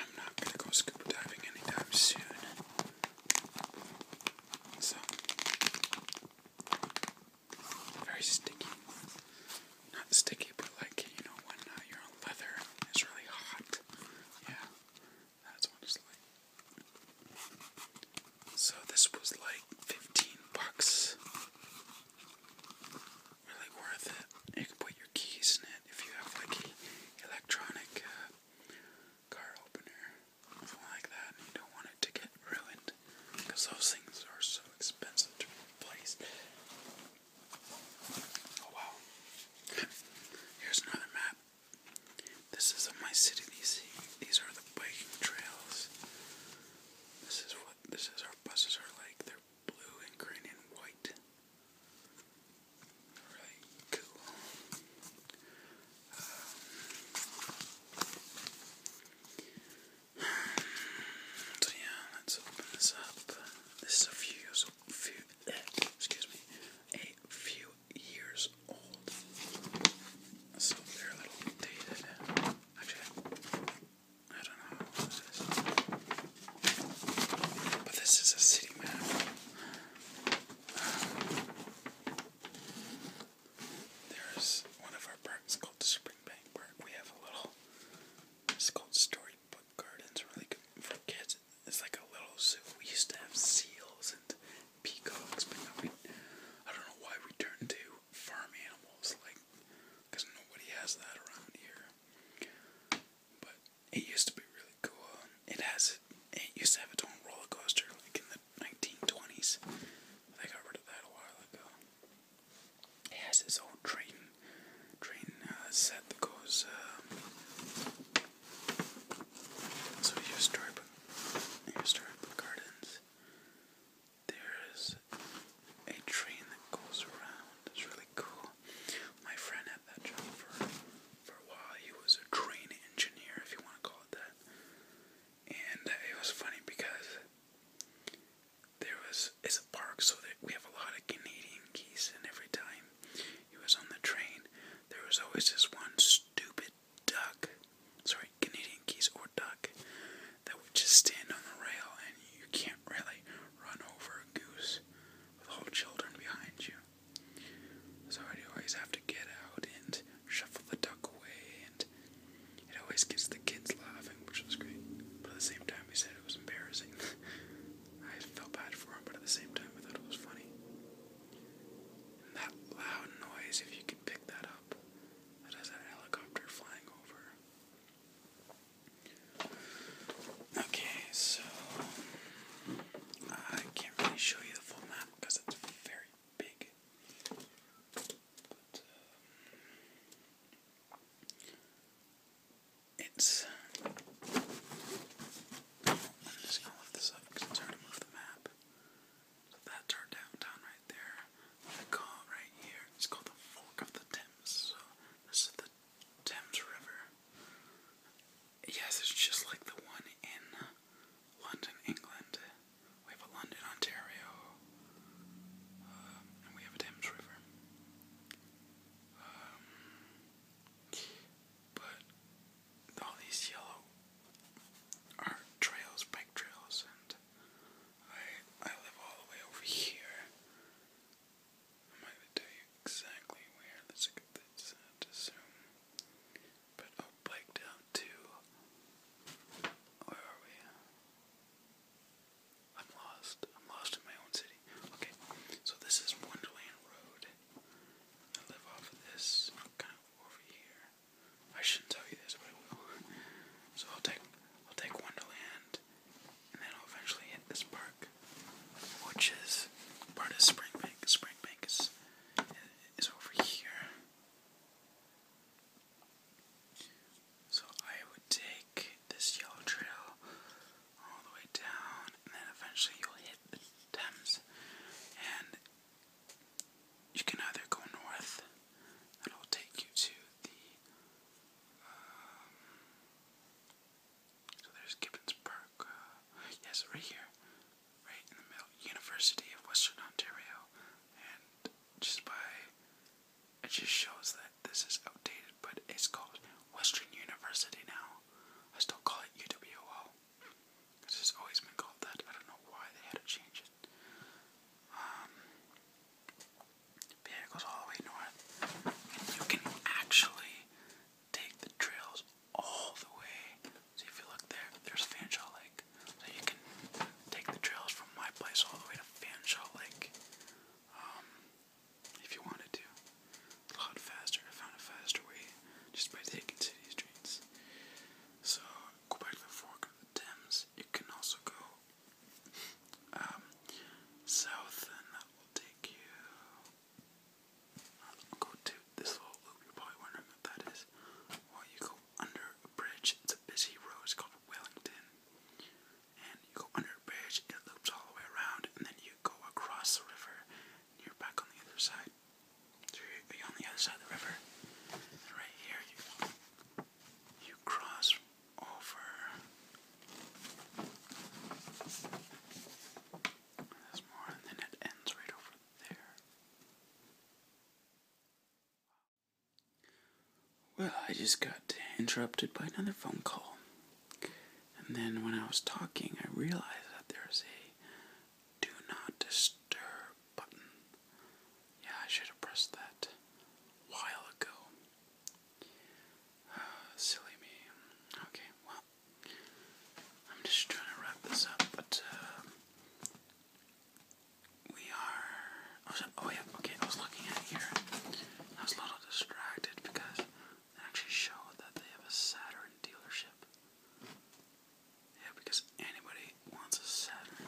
I'm not going to go scuba diving anytime soon. So, very sticky. Not sticky, but like, you know, when uh, leather and really hot. Yeah, that's what it's like. So this was like 15 bucks. Really worth it. You can put your keys in it if you have like an electronic uh, car opener, something like that, you don't want it to get ruined because those things are so expensive to replace. Oh wow. Here's another map. This is my city. These these are the biking trails. This is what this is. Our buses are like. They're blue and green and white. Really cool. Um, yeah, let's open this up. This is a few years, old, excuse me, a few years old. So they're a little dated. Actually, I don't know this is. But this is a city map. there's one of our parks called Springbank Park. We have a little, it's called Storybook Gardens, really good for kids. It's like a little zoo. We used to have seals and peacocks, but now we, I don't know why we turned to farm animals, like, because nobody has that around here. But it used to be really cool. It has it. It used to have its own roller coaster, like in the 1920s. They got rid of that a while ago. It has its own train, train uh, set that goes. Uh, so here's storybook, here's storybook gardens. There's a train that goes around. It's really cool. My friend had that job for for a while. He was a train engineer, if you want to call it that. And it was funny because there was it's a park, so that we have a lot of Canadian geese, and every time he was on the train, there was always this one stupid duck sorry, Canadian geese or duck that would just stand on the rail and you can't really run over a goose with all children behind you. So you always have to get out and shuffle the duck away and it always gets the kids laughing, which was great. But at the same time he said it was embarrassing. I felt bad for him, but at the same time I thought it was funny. that loud noise, if you can pick that up, that has a helicopter flying over. Okay, so I can't really show you the full map because it's very big. Um, it's. I'm just gonna lift this up because it's hard to move the map. So that's our downtown right there. What I right here, it's called the Fork of the Thames. So this is the Thames River. Yes, it's just like the one in London, England. We have a London, Ontario, um, and we have a Thames River. Um, but all these yellow are trails, bike trails, and Alright, I live all the way over here. I'm gonna tell you exactly where. Let's look But I'll break down to where are we? I'm lost. I'm lost in my own city. Okay, so this is Wonderland Road. I live off of this kind of over here. I shouldn't tell you this, but I will. So I'll take I'll take Wonderland, and then I'll eventually hit this park, which is part of Springbank. Springbank is is over here. So I would take this yellow trail all the way down, and then eventually you'll hit the Thames, and you can either go north, and I'll take you to the um, so there's Gibbons uh, yes, right here. Right in the middle. University of Western Ontario. And just by. It just shows that this is outdated, but it's called Western University now. I still call it UWO. This has always been called that. I don't know why they had to change it. Um, it goes all the way north. And you can actually take the trails all the way. So if you look there, there's Fanshawe Lake. So you can take the trails from my place all the way to Fanshawe Lake. Um, if you wanted to. a lot faster. I found a faster way just by taking city streets. So go back to the fork of the Thames. You can also go um, south, and that will take you. go to this little loop. You're probably wondering what that is. Well, you go under a bridge. It's a busy road. It's called Wellington, and you go under a bridge. It loops all the way around, and then you go across the river. And you're back on the other side. So you're on the other side of the river. And right here, you you cross over this more, and then it ends right over there. Well, I just got interrupted by another phone call. And then when I was talking, I realized that there's a do not disturb button. Yeah, I should have pressed that while ago. Oh, silly me. Okay, well, I'm just trying to wrap this up, but uh, we are. Oh, oh, yeah, okay, I was looking at here. I was a little distracted because they actually showed that they have a Saturn dealership. Yeah, because anybody wants a Saturn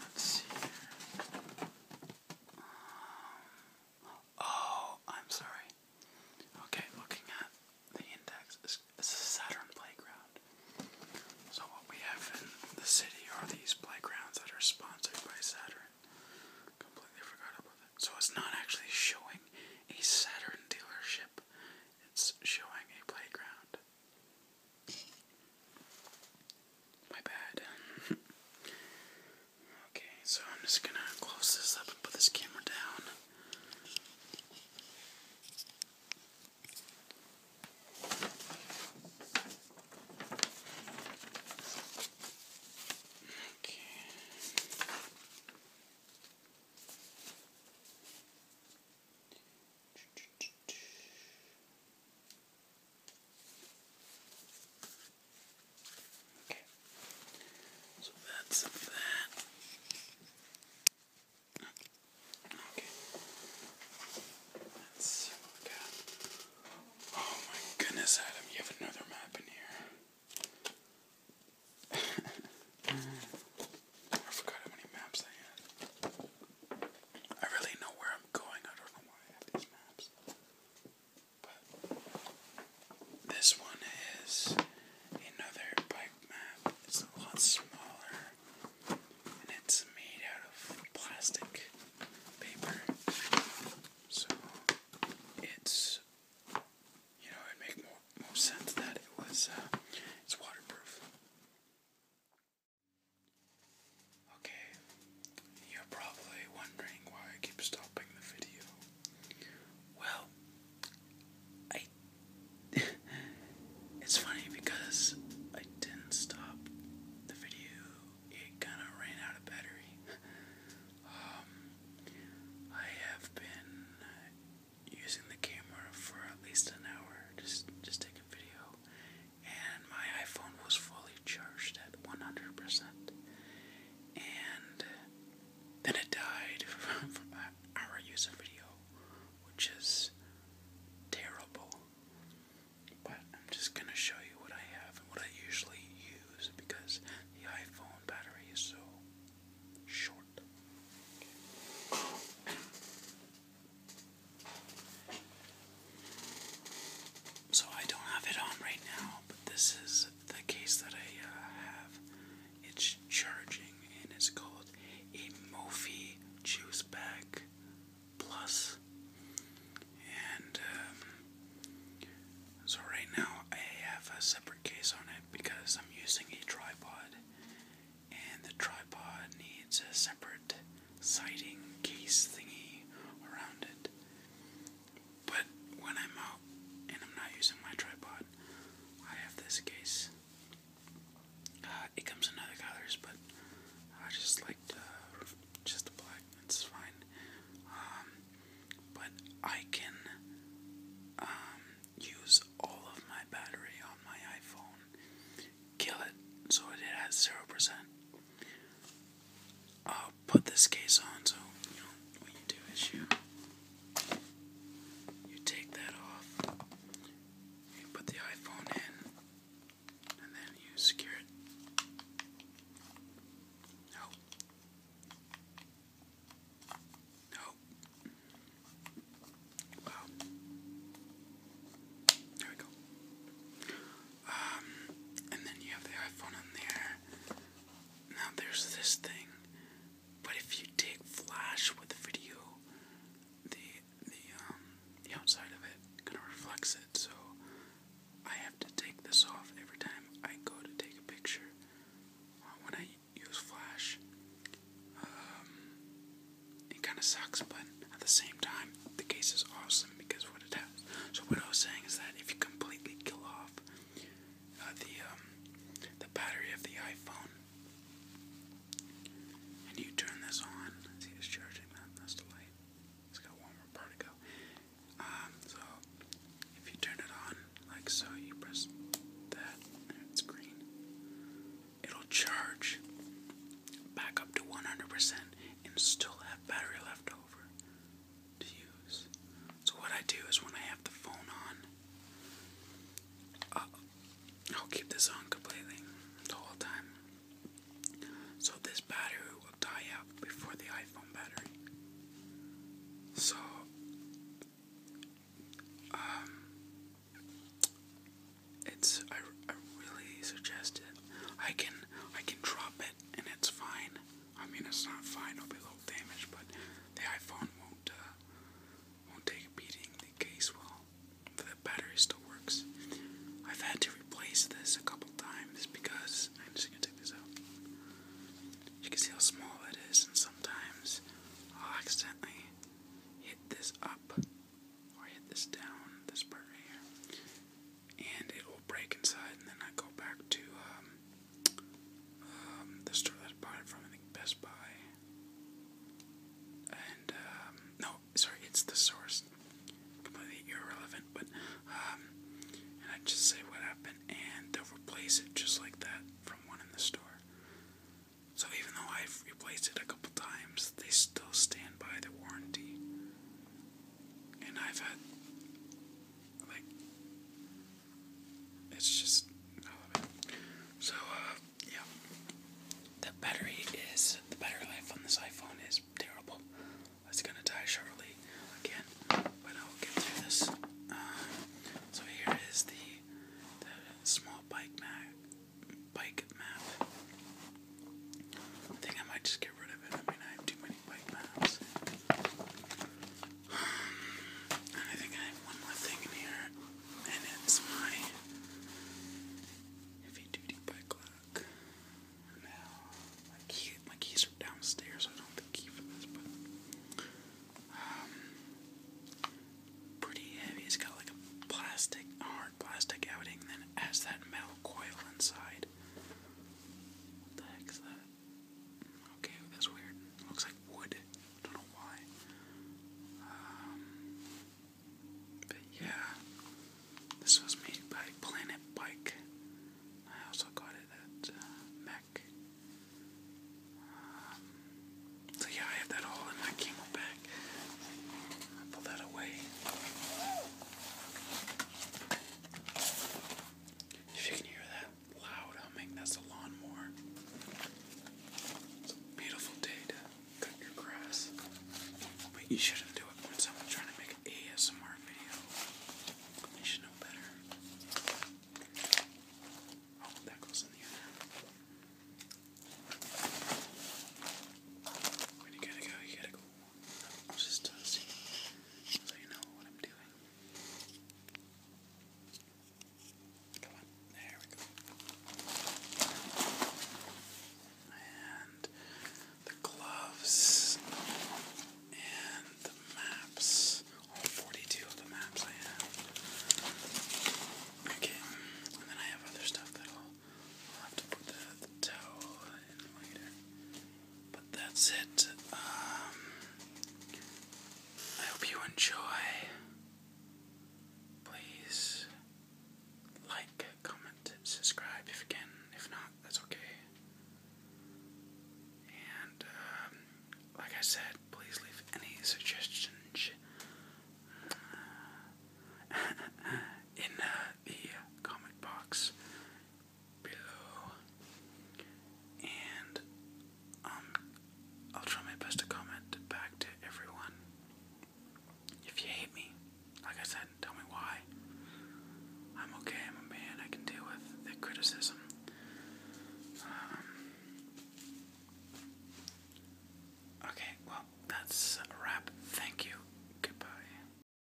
let's see um, oh, I'm sorry. Okay, looking at the index, is Saturn playground. So what we have in the city are these playgrounds that are sponsored by Saturn. Completely forgot about that. So it's not actually showing a Saturn dealership. It's showing a playground. My bad. okay, so I'm just gonna close this up and put this camera down. Okay. So that's that. Okay. Let's Oh my goodness, Adam, you have another map in here. I forgot how many maps I had. I really know where I'm going. I don't know why I have these maps. But this one is another bike map. It's a lot smaller and it's made out of plastic paper. So it's you know, it makes more, more sense that it was uh, it's waterproof. Okay, you're probably wondering why I keep stopping the video. Well, I. it's funny because I didn't stop the video, it kinda ran out of battery. Um, I have been using the camera for at least an hour, just just taking video, and my iPhone was fully charged at 100%. And then it died from our use of video, which is terrible. But I'm just gonna show you what I have and what I usually use because the iPhone battery is so short. So I don't have it on right now, but this is the case that I uh, have. It's charging and it's called a Mophie Juice Bag Plus. And um, so right now I have a separate case on it because I'm using a tripod and the tripod needs a separate siding case thingy around it. But when I'm out and I'm not using my tripod, I have this case. Uh, it comes in other colors, but I just like just the black. It's fine. Um, but I can um, use all of my battery on my iPhone kill it so it has 0%. I'll put this case on so you know what you do is you you take that off, you put the iPhone in, and then you secure it. Nope. Nope. Wow. There we go. Um, and then you have the iPhone on there. Now there's this thing, but if you take flash with video, the the um the outside of it kind of reflects it. So I have to take this off every time I go to take a picture. Uh, when I use flash, um, it kind of sucks, but at the same time, the case is awesome because what it has. So what I was saying is that if you completely kill off uh, the um, the battery of the iPhone and you turn this on, see it's charging That's the light. It's got one more part to go. Um, so if you turn it on like so, you press that it's green. It'll charge back up to 100% and still have battery left over to use. So what I do is when I have the phone on, I'll, keep this on completely the whole time. So this battery will die out before the iPhone battery. So um, it's I, I really suggest it. I can I can drop it and it's fine. I mean it's not fine, it'll be a little damaged, but the iPhone won't uh, won't take a beating. The case will. The battery still works. I've had to replace this a couple times because I'm just gonna take this out. You can see how small it is, and sometimes I'll accidentally hit this up or hit this down, this part right here, and it will break inside. And then I go back to um, um, the store that I bought it from, I think Best Buy. And um, no, sorry, it's the source. Completely irrelevant, but I just say what happened, and they'll replace it just like that from one in the store. So even though I've replaced it a couple times, they still stand by the warranty. And I've had, like, it's just, I love it. So, uh, yeah. The battery is, the battery life on this iPhone is terrible. It's gonna die shortly again, but I'll get through this. Um, so here is the, the small bike map, bike map, I think I might just get rid of it. I mean, I have too many bike maps. And I think I have one more thing in here, and it's my heavy duty bike lock. my, key, my keys are downstairs, I don't have the key for this, but. Um, pretty heavy. It's got like a plastic, hard plastic outing, then has that metal coil inside. What the heck's that? Okay, that's weird. looks like wood. I don't know why. Um, but yeah, this was made by Planet Bike. I also got it at uh, Mac. Um, so yeah, I have that all in my chemo bag. I pull that away. If you can hear that loud humming, that's a lawnmower. It's a beautiful day to cut your grass. But you shouldn't do it when someone's trying to make an ASMR video. You should know better. Oh, that goes in the other. When you gotta go, you gotta go consistency so you know what I'm doing. Come on, there And the gloves and the maps. All 42 of the maps I have. Okay, and then I have other stuff that I'll, have to put the towel in later. But that's it. Um, I hope you enjoy. Please like, comment, subscribe if you can. If not, that's okay. And um, like I said, please leave any suggestions uh, in uh, the comment box below, and um, I'll try my best to comment back to everyone. If you hate me, like I said, tell me why. I'm okay, I'm a man, I can deal with the criticism. Um, okay, well, that's a wrap. Thank you. Goodbye.